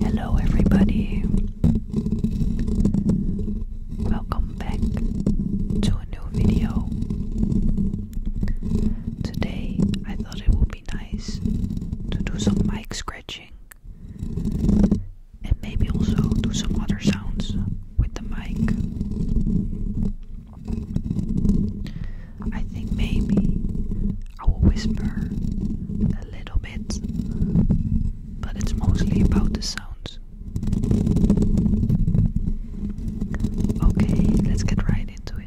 Hello, everybody. Welcome back to a new video. Today, I thought it would be nice to do some mic scratching and maybe also do some other sounds with the mic. I think maybe I will whisper a little bit, but it's mostly about the sounds. Okay, let's get right into it.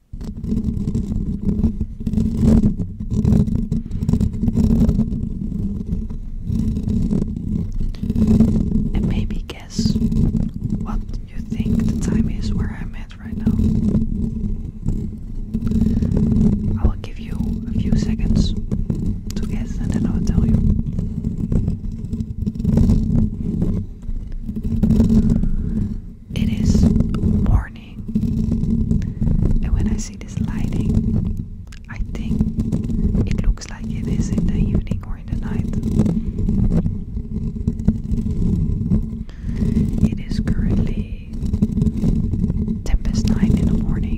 And maybe guess what you think the time is where I'm at right now. I will give you a few seconds to guess and then I will tell you. It is morning, and when I see this lighting, I think it looks like it is in the evening or in the night. It is currently Tempest past nine in the morning.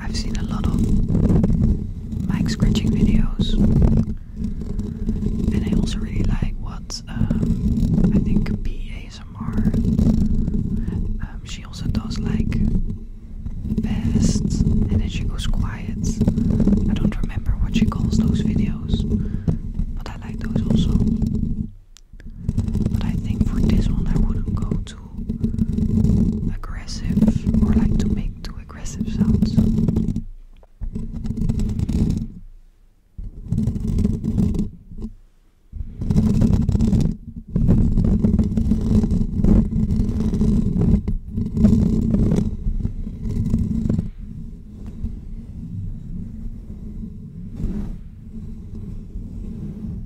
I've seen a lot of mic scratching videos, and I also really like what um, I think B ASMR. Um, she also does like best, and then she goes quiet. I don't remember what she calls those videos, but I like those also. But I think for this one, I wouldn't go to aggressive or like to make too aggressive sounds.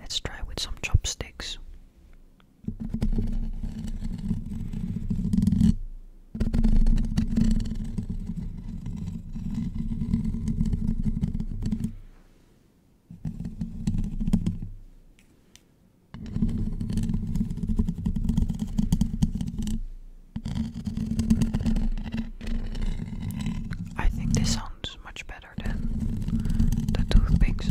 Let's try with some chopsticks. I think this sounds much better than the toothpicks.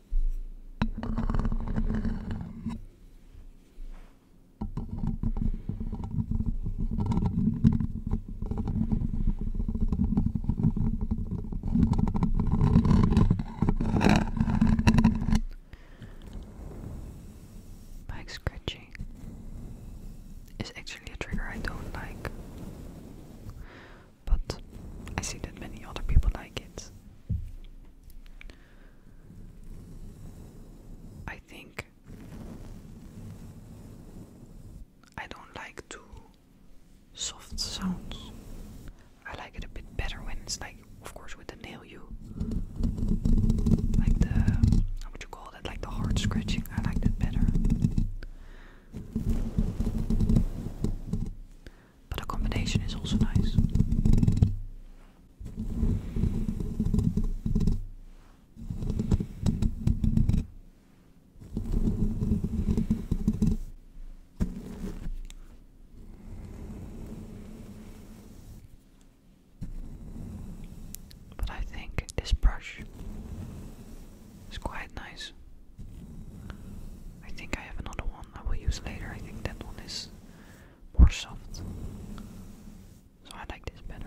Mic scratching is actually a trigger I don't like but I see that many other people like it. I think I don't like too soft sounds. I like it a bit better when it's like, of course, with the nail you like the how you call that? Like the hard scratching. I like that better but a combination is also nice. But I think this brush is quite nice. I think I have another one I will use later. I think that one is more soft. So I like this better.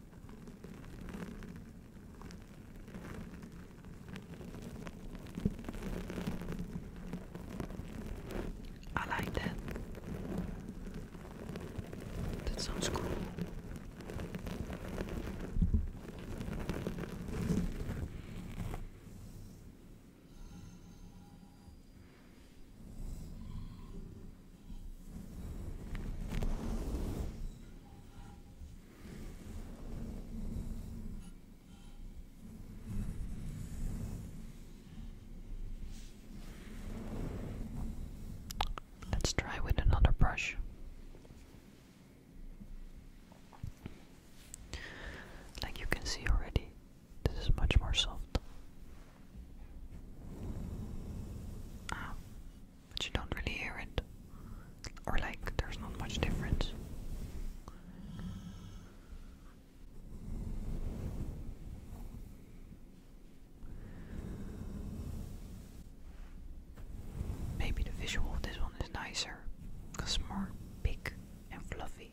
I like that. That sounds cool. Let's try with another brush. Like you can see already, this is much more soft. Ah but you don't really hear it. Or, like, there's not much difference. Maybe the visual of this one is nicer it's more big and fluffy.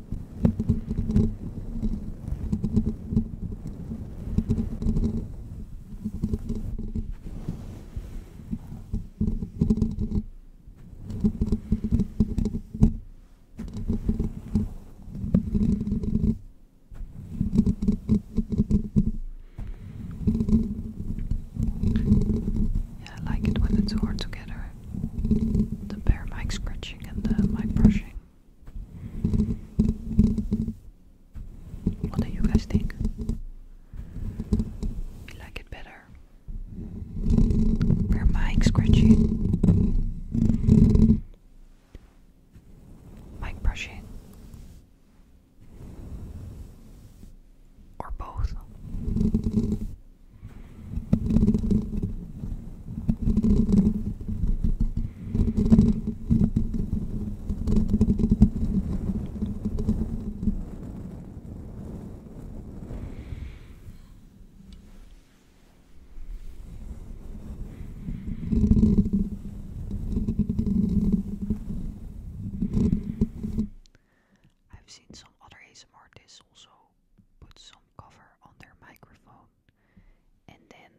Yeah, I like it when the two together the bare mic scratching and the mic brushing. What do you guys think? You like it better? Bare mic scratching? Mic brushing? Or both? I've seen some other ASMR artists also put some cover on their microphone and then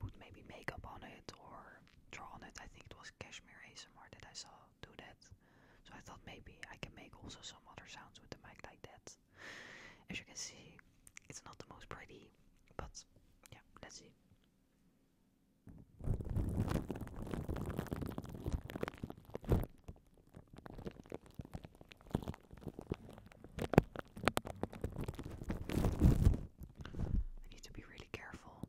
put maybe makeup on it or draw on it. I think it was Kashmir ASMR that I saw do that. So I thought maybe I can make also some other sounds with the mic like that. As you can see, it's not the most pretty, but yeah, let's see. I need to be really careful.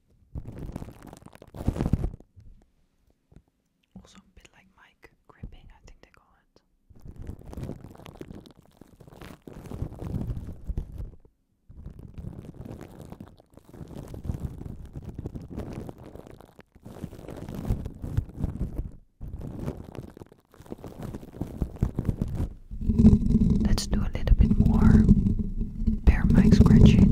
Also a bit like mic gripping, I think they call it. Let's do a little bit more bare mic scratching.